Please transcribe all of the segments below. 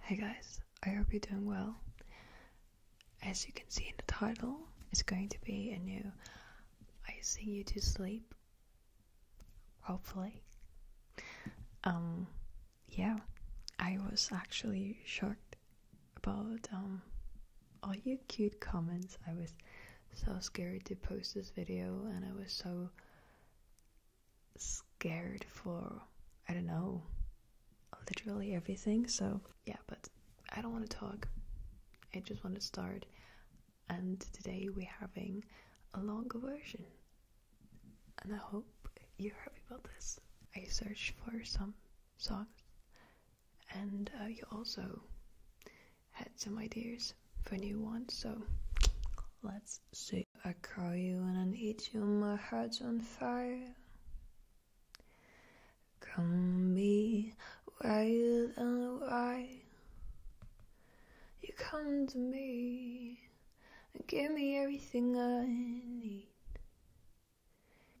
Hey guys, I hope you're doing well. As you can see in the title, it's going to be a new I Sing You to Sleep. Hopefully. Um yeah, I was actually shocked about um all your cute comments. I was so scared to post this video and I was so scared for I don't know literally everything. So yeah, but I don't want to talk. I just want to start. And today we're having a longer version. And I hope you're happy about this. I searched for some songs and uh, you also had some ideas for new ones. So let's see. I call you when I need you, my heart's on fire. Come be wild and wild. You come to me and give me everything I need.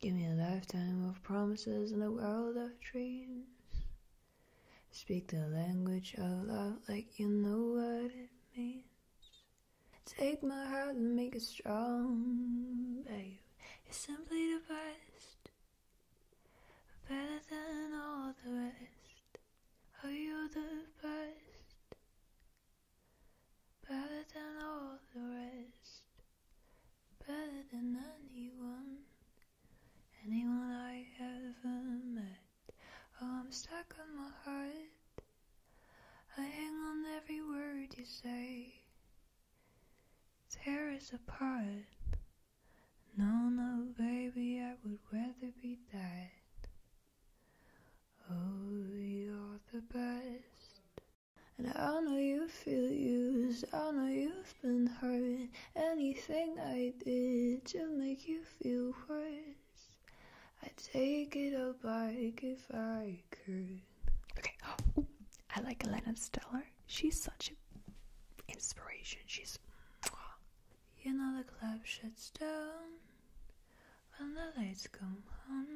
Give me a lifetime of promises and a world of dreams. Speak the language of love like you know what it means. Take my heart and make it strong, babe. You're simply the best, better than all the rest. Oh, you're the best, better than all the rest, better than anyone, anyone I ever met. Oh, I'm stuck on my heart. I hang on every word you say. There is a part, No, no, baby, I would rather be that. Oh, you're the best. And I know you feel used. I know you've been hurt. Anything I did to make you feel right. I'd take it all back if I could. Okay. I like Elena Stellar. She's such an inspiration. She's. You know the club shuts down when the lights come on.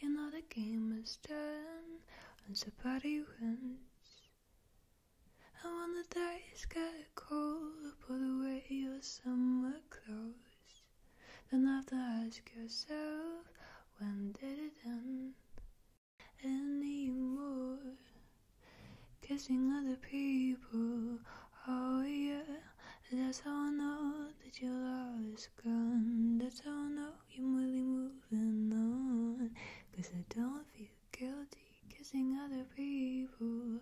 You know the game is done when somebody wins. And when the dice get cold, put away your summer clothes. Then not have to ask yourself when did it end anymore. Kissing other people, oh yeah. That's how I know that your love is gone. That's how I know you're really moving on. Cause I don't feel guilty kissing other people.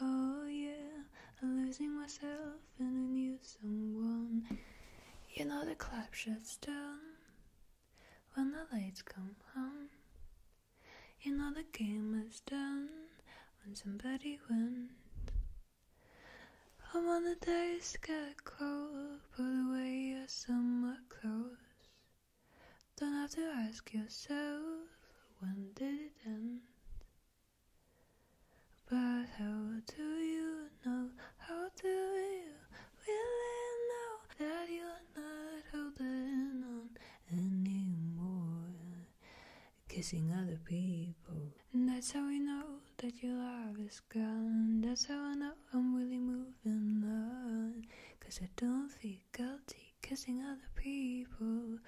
Oh yeah, I'm losing myself in a new someone. You know the club shuts down when the lights come on. You know the game is done when somebody wins. I'm on the dice, get cold, pull away your summer clothes. Don't have to ask yourself when did it end. But how do you know? How do you really know that you're not holding on anymore? Kissing other people. And that's how I know that your love is gone. That's how I know I'm really moving on. Cause I don't feel guilty kissing other people.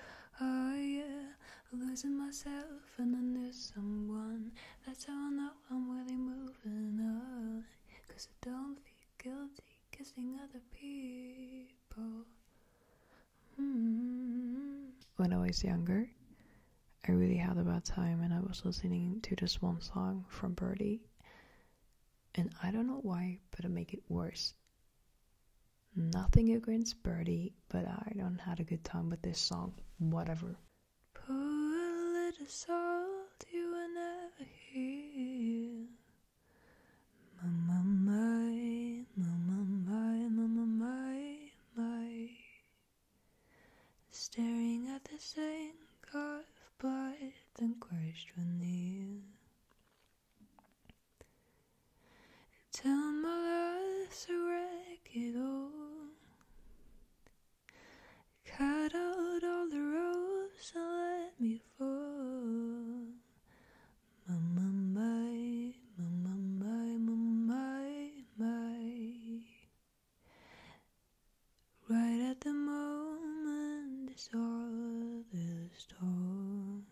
Oh yeah. Losing myself and I knew someone. That's how I know I'm really moving on. Cause I don't feel guilty kissing other people. Hmm. When I was younger, I really had a bad time and I was listening to this one song from Birdie. And I don't know why, but it made it worse. Nothing against Birdie, but I don't had a good time with this song. Whatever. Pour a little salt, you will never heal. My, my, my, my, my, my, my, my, Staring at the same God of blood and Christ will kneel. Until my life's a wreck, it all cut out all the ropes and let me fall. My my, mama, my, my, my. Right at the moment, it's all the storm.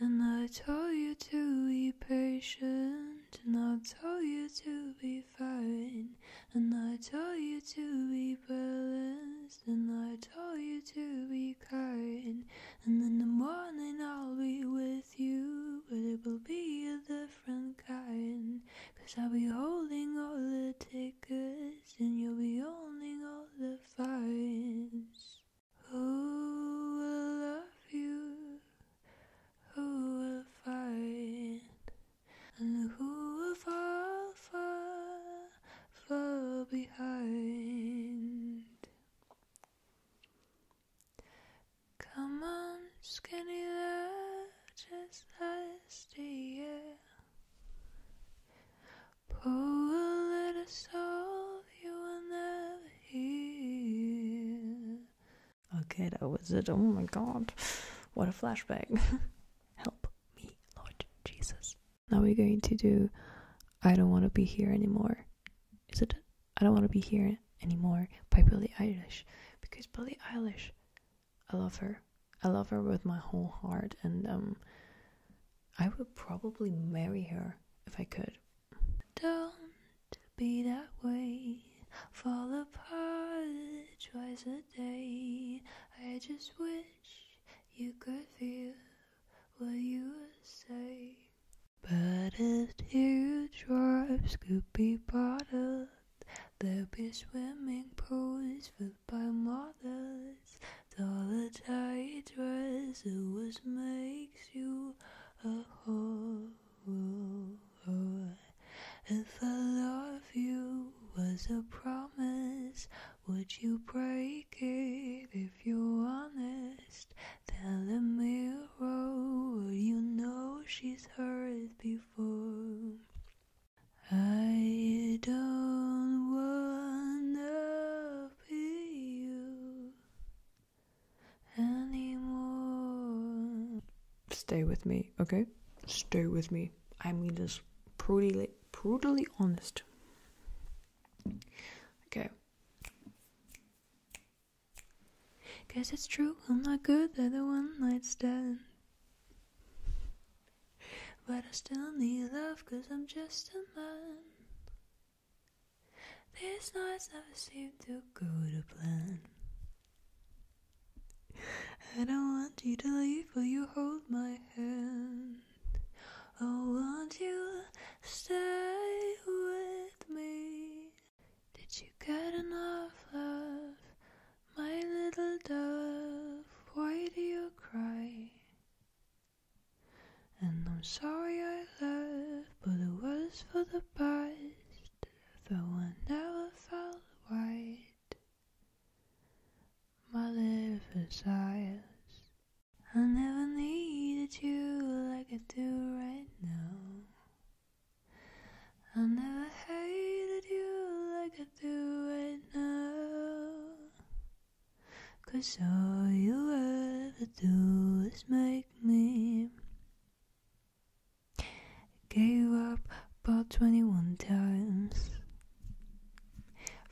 And I told you to be patient, and I told you to be fine, and I told you to be balanced, and I told you to be kind. And in the morning I'll be with you, but it will be a different kind. Cause I'll be holding all the tickets, and you'll be holding all the fines. Who will love you? Who will fight? And who will fall far, far behind? Come on, skinny lad, just last year. Pour little soul you will never hear. Okay, that was it. Oh my god. What a flashback. Help me, Lord Jesus. Now we're going to do I Don't Want to Be Here Anymore. Is it? I Don't Want to Be Here Anymore by Billie Eilish. Because Billy Eilish, I love her. I love her with my whole heart and um I would probably marry her if I could. Don't be that way. Fall apart twice a day. I just wish you could feel what you would say. But if teardrops could be bottled, there'd be swimming pools filled by models others. Dollar tight dress always makes you a whore. If I love you was a promise, would you break it if you're honest? Tell the mirror, you know she's heard before. I don't wanna Stay with me, okay? Stay with me. I mean this brutally, brutally honest. Okay. Guess it's true, I'm not good at the one night stand. But I still need love, cause I'm just a man. These nights never seem to go to plan. I don't want you to leave, but you hold my hand. Oh, won't you stay with me? Did you get enough love, my little dove? Why do you cry? And I'm sorry I left, but it was for the best. Though I never felt right, my little desires. I never needed you like I do right now. I never hated you like I do right now. Cause all you ever do is make me Gave up about 21 times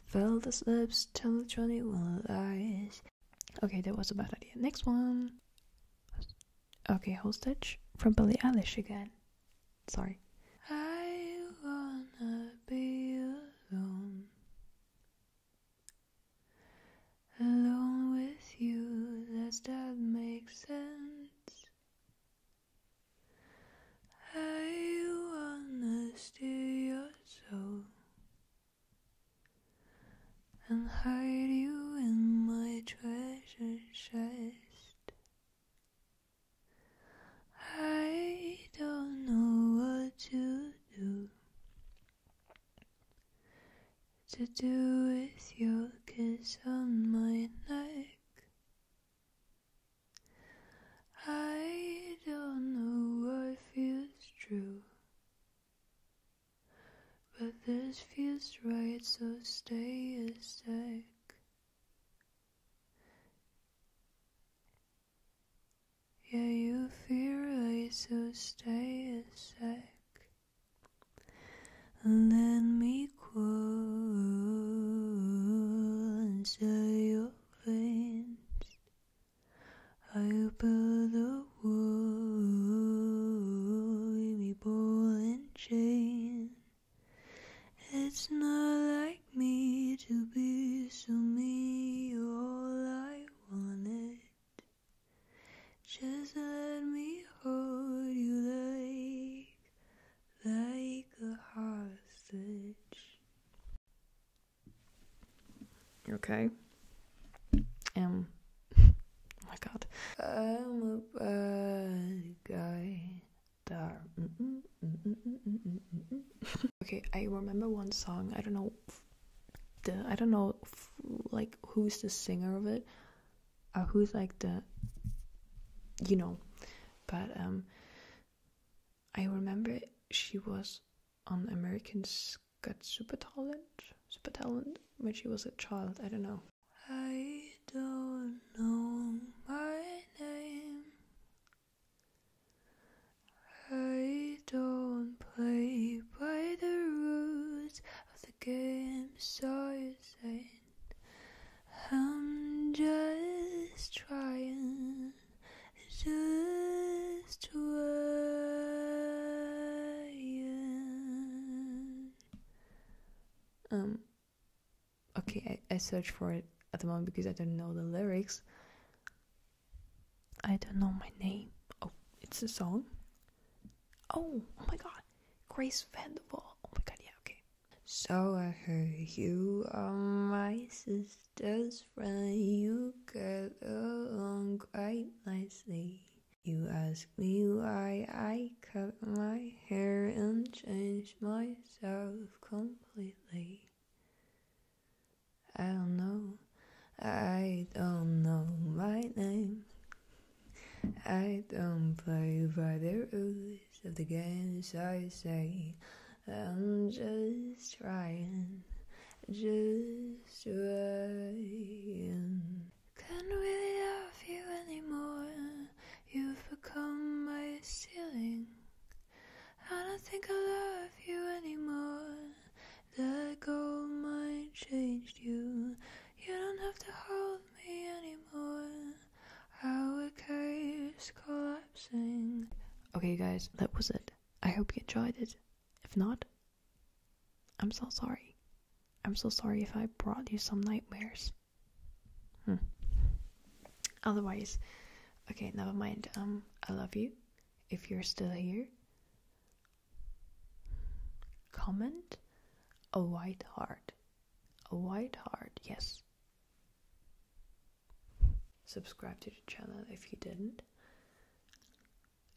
Fell the slips, told 21 lies Okay, that was a bad idea. Next one Okay, Hostage from Billy Eilish again Sorry I wanna be alone Alone with you, does that make sense? Are you honest to your soul? And hide you in my treasure chest? I don't know what to to do with your kiss on my neck. I don't know what feels true, but this feels right, so stay a sec. Yeah, you fear I so stay a sec Let then me cool inside your veins. I build the wall, me ball and chain. It's not like me to be so me, all I wanted. Just let me hold you like, like a hostage. Okay. Um. oh my God. I'm a bad guy. okay, I remember one song. I don't know the I don't know like who's the singer of it or who's like the you know but um I remember she was on Americans Got Super Talent Super Talent when she was a child I don't know I don't know my name I don't play by the rules of the game, so you say I'm just trying just trying. Um okay, I, I search for it at the moment because I don't know the lyrics. I don't know my name. Oh, it's a song. Oh, oh my god. Grace Vanderbilt. Oh my god, yeah, okay. So I heard you are my sister's friend. You get along quite nicely. You ask me why I cut my hair and changed myself completely. I don't know. I don't know my name. I don't play by the rules of the games I say. I'm just trying, just trying. Can't really love you anymore. You've become my ceiling. I don't think I love you anymore. Let gold mine changed you. You don't have to hold me anymore. Our cave's collapsing. Okay, guys, that was it. I hope you enjoyed it. If not, I'm so sorry. I'm so sorry if I brought you some nightmares. Hmm. Otherwise, okay, never mind. Um, I love you if you're still here. Comment a white heart. A white heart, yes. Subscribe to the channel if you didn't.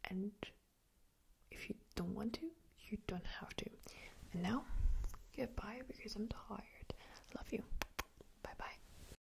And if you don't want to, you don't have to. And now, goodbye because I'm tired. Love you. Bye bye.